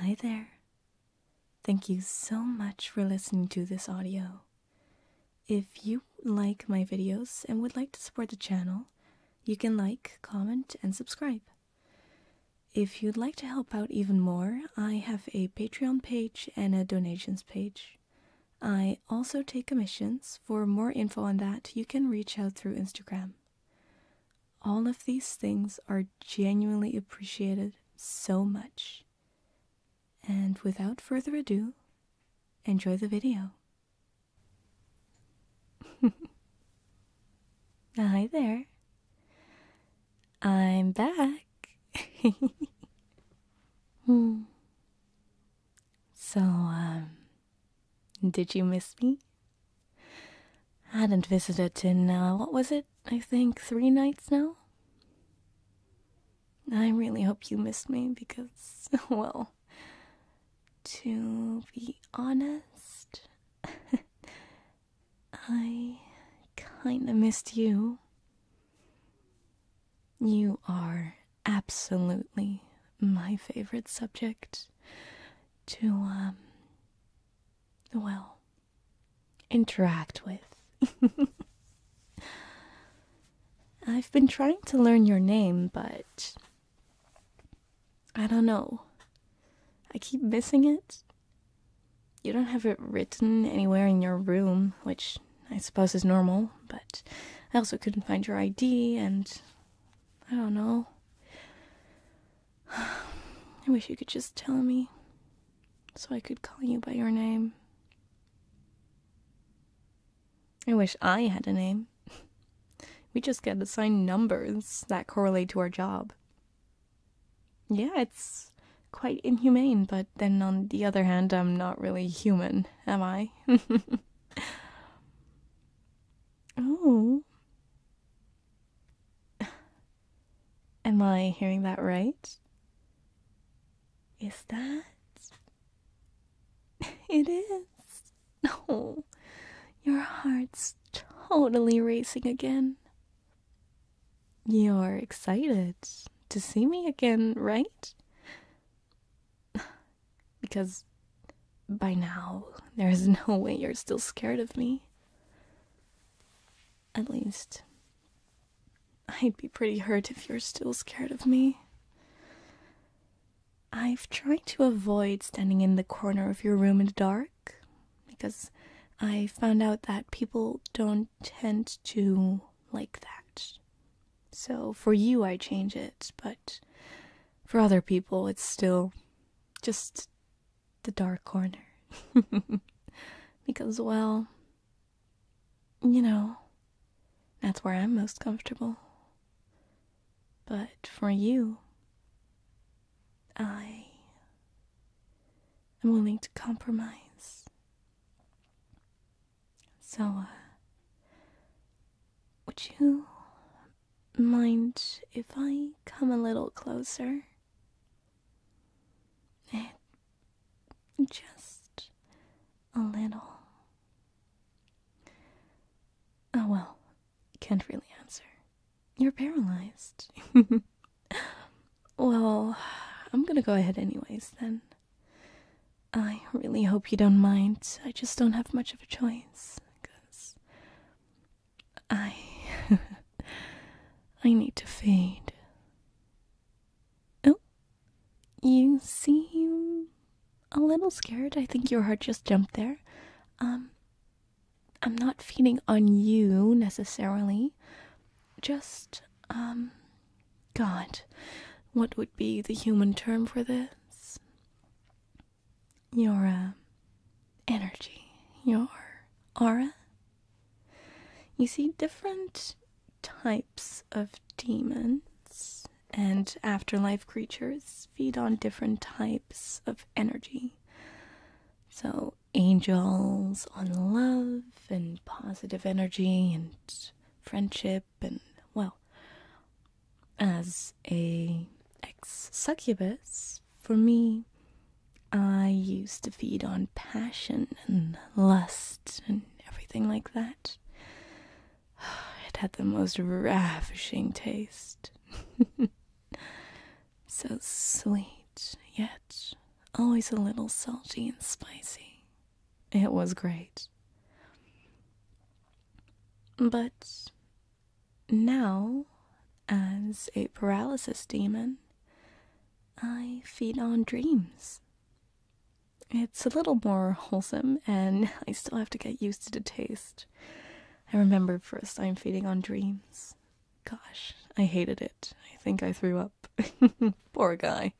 Hi there. Thank you so much for listening to this audio. If you like my videos and would like to support the channel, you can like, comment, and subscribe. If you'd like to help out even more, I have a Patreon page and a donations page. I also take commissions. For more info on that, you can reach out through Instagram. All of these things are genuinely appreciated so much. And without further ado, enjoy the video. Hi there. I'm back. Hmm. So, um, did you miss me? I Hadn't visited in, uh, what was it? I think three nights now? I really hope you missed me because, well, to be honest, I kinda missed you. You are absolutely my favorite subject to um, well interact with. I've been trying to learn your name, but I don't know. I keep missing it. You don't have it written anywhere in your room, which I suppose is normal, but I also couldn't find your ID, and I don't know. I wish you could just tell me so I could call you by your name. I wish I had a name. We just get assigned numbers that correlate to our job. Yeah, it's quite inhumane, but then on the other hand, I'm not really human, am I? Oh. Am I hearing that right? Is that? It is. Oh, your heart's totally racing again. You're excited to see me again, right? Because by now, there is no way you're still scared of me. At least, I'd be pretty hurt if you're still scared of me. I've tried to avoid standing in the corner of your room in the dark because I found out that people don't tend to like that. So for you, I change it, but for other people, it's still just the dark corner. because, well, you know, that's where I'm most comfortable. But for you, I am willing to compromise. So, uh, would you Mind if I come a little closer? Eh, just a little. Oh well, can't really answer. You're paralyzed. well, I'm gonna go ahead anyways then. I really hope you don't mind. I just don't have much of a choice, because I. I need to fade. Oh, you seem a little scared. I think your heart just jumped there. Um, I'm not feeding on you necessarily. Just, um, God, what would be the human term for this? your uh, energy, your aura. You see different types of demons and afterlife creatures feed on different types of energy. So, angels on love and positive energy and friendship and, well, as a ex-succubus, for me, I used to feed on passion and lust and everything like that. It had the most ravishing taste. so sweet, yet always a little salty and spicy. It was great. But now, as a paralysis demon, I feed on dreams. It's a little more wholesome, and I still have to get used to the taste. I remember first i I'm feeding on dreams. Gosh, I hated it. I think I threw up. Poor guy.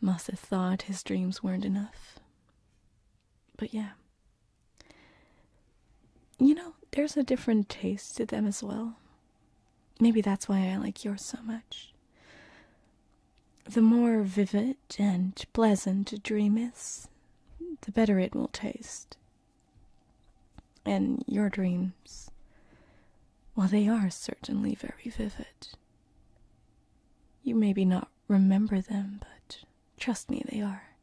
Must have thought his dreams weren't enough. But yeah. You know, there's a different taste to them as well. Maybe that's why I like yours so much. The more vivid and pleasant a dream is, the better it will taste. And your dreams, well, they are certainly very vivid. You maybe not remember them, but trust me, they are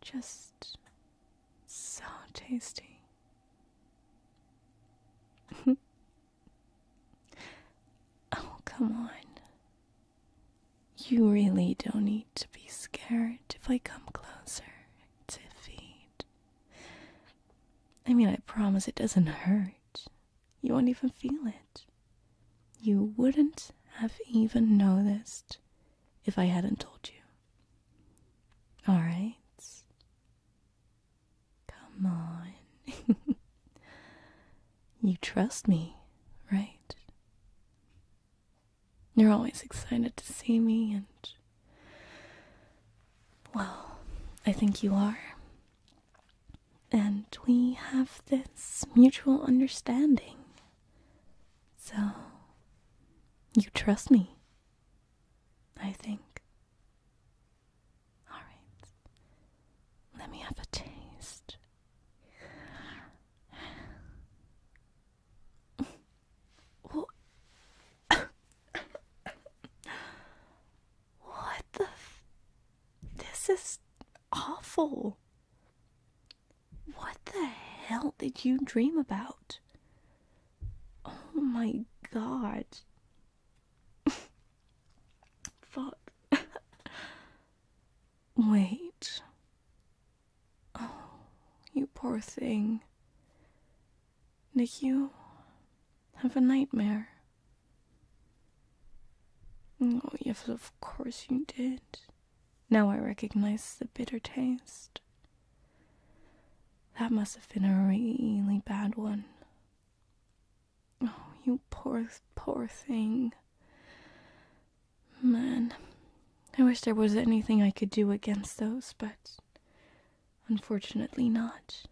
just so tasty. oh, come on. You really don't need to be scared if I come closer to feed. I mean, I promise it doesn't hurt you won't even feel it. You wouldn't have even noticed if I hadn't told you. All right. Come on. you trust me, right? You're always excited to see me, and. Well, I think you are. And we have this mutual understanding. So, you trust me, I think. Alright, let me have a taste. What the? this is awful. What the hell did you dream about? Oh my god. Fuck. Wait. Oh, you poor thing. Nick, you have a nightmare. Oh, yes, of course you did. Now I recognize the bitter taste. That must have been a really bad one. Oh, you poor, poor thing. Man, I wish there was anything I could do against those, but unfortunately not.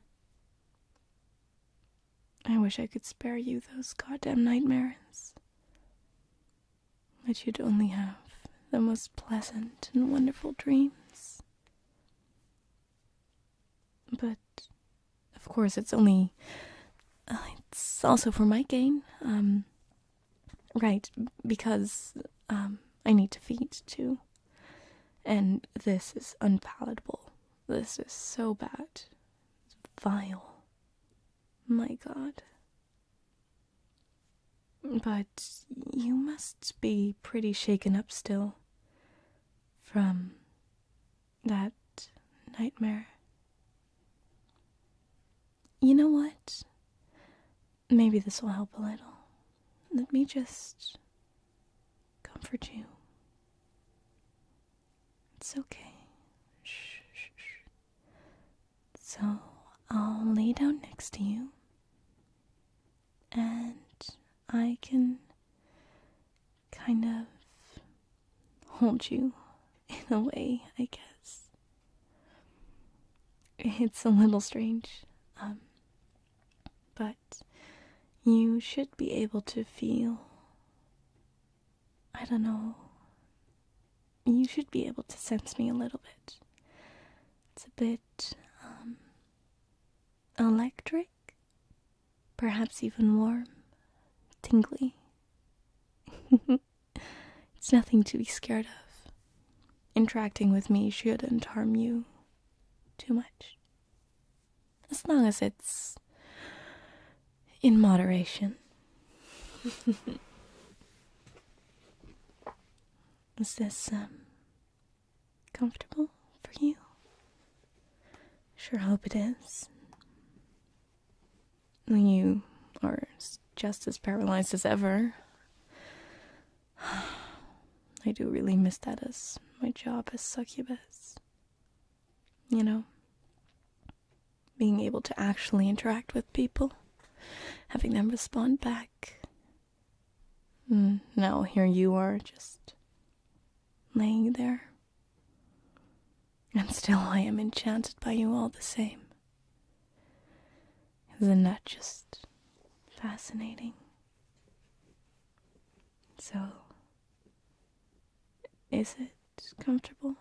I wish I could spare you those goddamn nightmares. That you'd only have the most pleasant and wonderful dreams. But, of course, it's only. Uh, it's also for my gain. Um, right, because um, I need to feed too. And this is unpalatable. This is so bad. It's vile. My god. But you must be pretty shaken up still from that nightmare. You know what? Maybe this will help a little. Let me just comfort you. It's okay. So I'll lay down next to you and I can kind of hold you in a way, I guess. It's a little strange. Um, but you should be able to feel. I don't know. You should be able to sense me a little bit. It's a bit um, electric, perhaps even warm, tingly. it's nothing to be scared of. Interacting with me shouldn't harm you too much. As long as it's in moderation. Is this um, comfortable for you? Sure hope it is. You are just as paralyzed as ever. I do really miss that as my job as succubus. You know, being able to actually interact with people, having them respond back. Mm, now here you are just laying there. And still I am enchanted by you all the same. Isn't that just fascinating? So, is it comfortable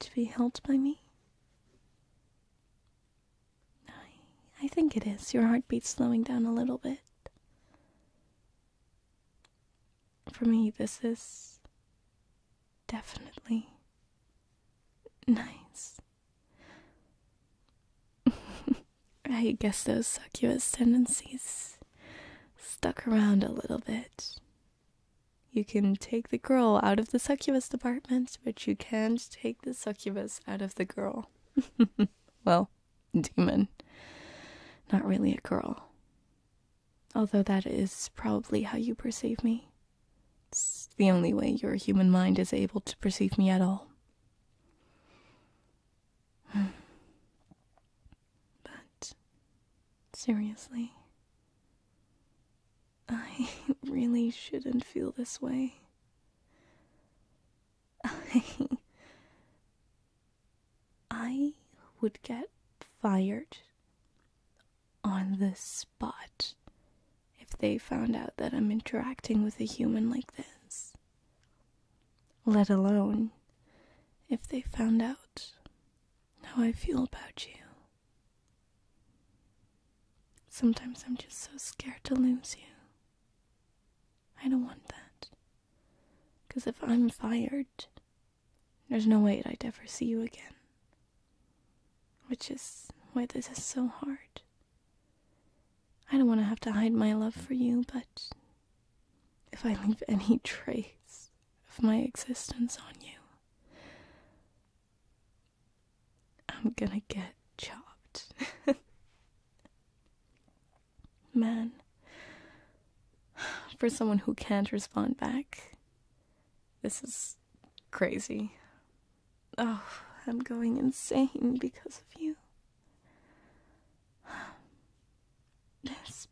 to be held by me? I, I think it is. Your heartbeat's slowing down a little bit. For me, this is definitely nice. I guess those succubus tendencies stuck around a little bit. You can take the girl out of the succubus department, but you can't take the succubus out of the girl. well, demon. Not really a girl. Although that is probably how you perceive me. It's the only way your human mind is able to perceive me at all. But seriously, I really shouldn't feel this way. I. I would get fired on this but if they found out that I'm interacting with a human like this. Let alone if they found out how I feel about you. Sometimes I'm just so scared to lose you. I don't want that. Because if I'm fired, there's no way I'd ever see you again. Which is why this is so hard. I don't want to have to hide my love for you, but if I leave any trace of my existence on you, I'm gonna get chopped. Man, for someone who can't respond back, this is crazy. Oh, I'm going insane because of you. This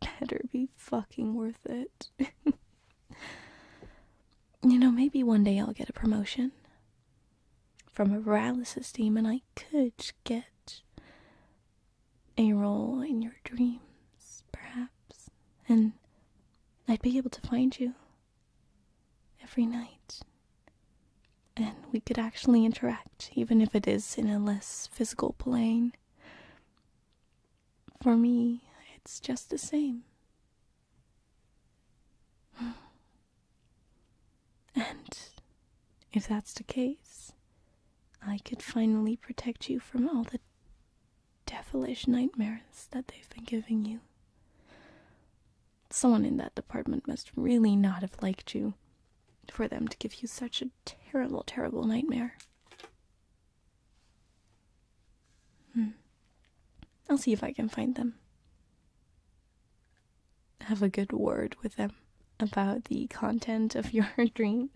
better be fucking worth it. you know, maybe one day I'll get a promotion. From a paralysis team, and I could get a role in your dreams, perhaps. And I'd be able to find you every night. And we could actually interact, even if it is in a less physical plane. For me, it's just the same. And if that's the case, I could finally protect you from all the devilish nightmares that they've been giving you. Someone in that department must really not have liked you for them to give you such a terrible, terrible nightmare. Hmm. I'll see if I can find them. Have a good word with them about the content of your dreams.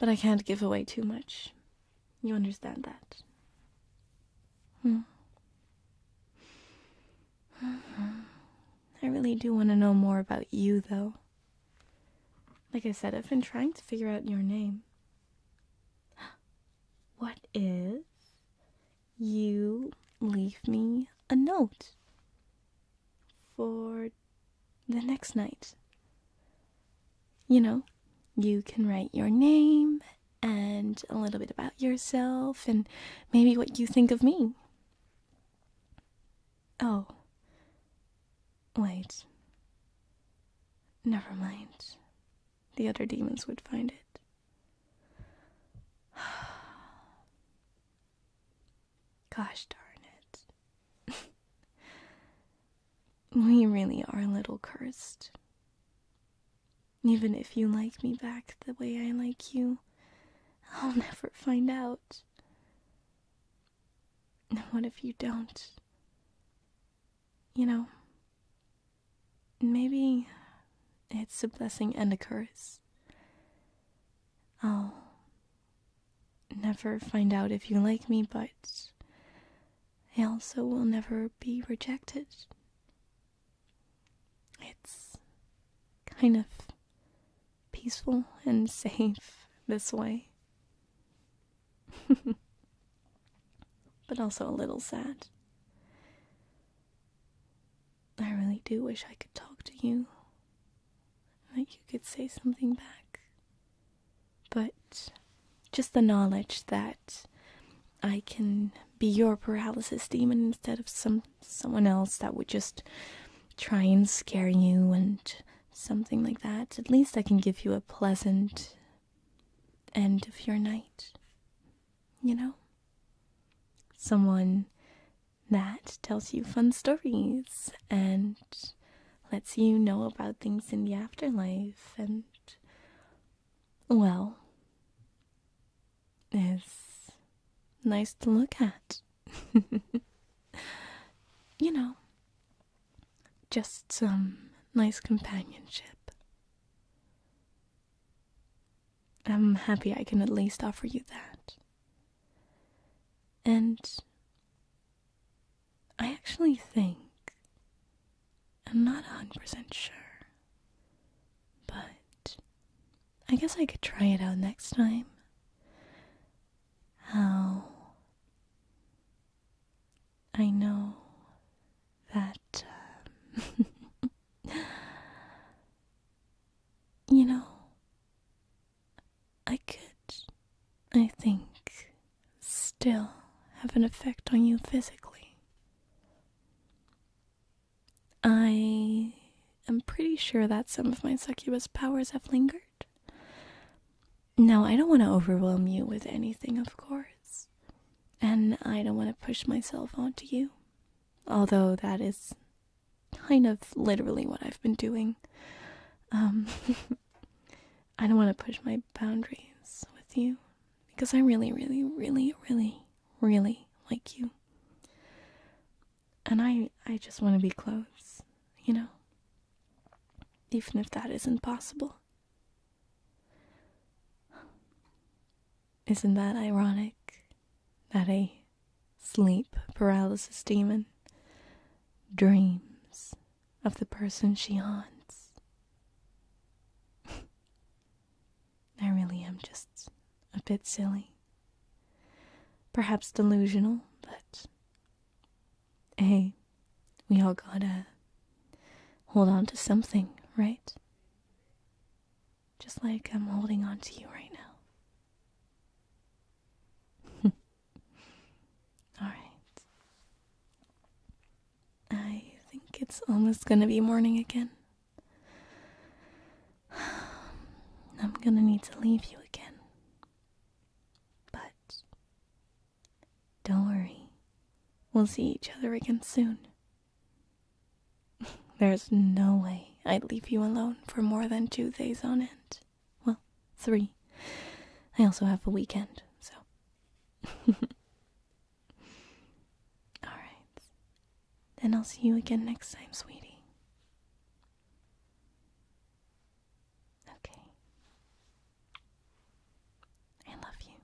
But I can't give away too much. You understand that? Hmm. I really do want to know more about you, though. Like I said, I've been trying to figure out your name. What is you leave me a note for the next night. You know, you can write your name and a little bit about yourself and maybe what you think of me. Oh. Wait. Never mind. The other demons would find it. Gosh darn it. we really are a little cursed. Even if you like me back the way I like you, I'll never find out. And what if you don't? You know, maybe it's a blessing and a curse. Oh never find out if you like me, but I also will never be rejected. It's kind of peaceful and safe this way. but also a little sad. I really do wish I could talk to you that you could say something back. But just the knowledge that I can be your paralysis demon instead of some someone else that would just try and scare you and something like that. At least I can give you a pleasant end of your night. You know? Someone that tells you fun stories and lets you know about things in the afterlife and well it's nice to look at you know just some nice companionship i'm happy i can at least offer you that and I actually think, I'm not 100% sure, but I guess I could try it out next time. How I know that, um, you know, I could, I think, still have an effect on you physically. I am pretty sure that some of my succubus powers have lingered. Now, I don't want to overwhelm you with anything, of course, and I don't want to push myself onto you, although that is kind of literally what I've been doing. Um, I don't want to push my boundaries with you because I really, really, really, really, really like you. And I, I just want to be close, you know? Even if that isn't possible. Isn't that ironic? That I sleep paralysis demon dreams of the person she haunts. I really am just a bit silly. Perhaps delusional, but hey, we all gotta hold on to something, right? Just like I'm holding on to you right now. All right. I think it's almost going to be morning again. I'm going to need to leave you again. But don't worry. We'll see each other again soon. There's no way I'd leave you alone for more than two days on end. Well, three. I also have a weekend, so. Alright. Then I'll see you again next time, sweetie. Okay. I love you.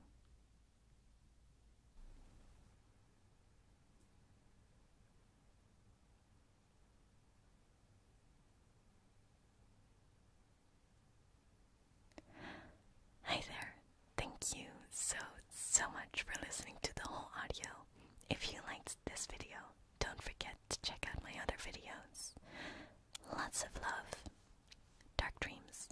Hi there! Thank you so, so much for listening to the whole audio. If you liked this video, don't forget to check out my other videos. Lots of love. Dark dreams.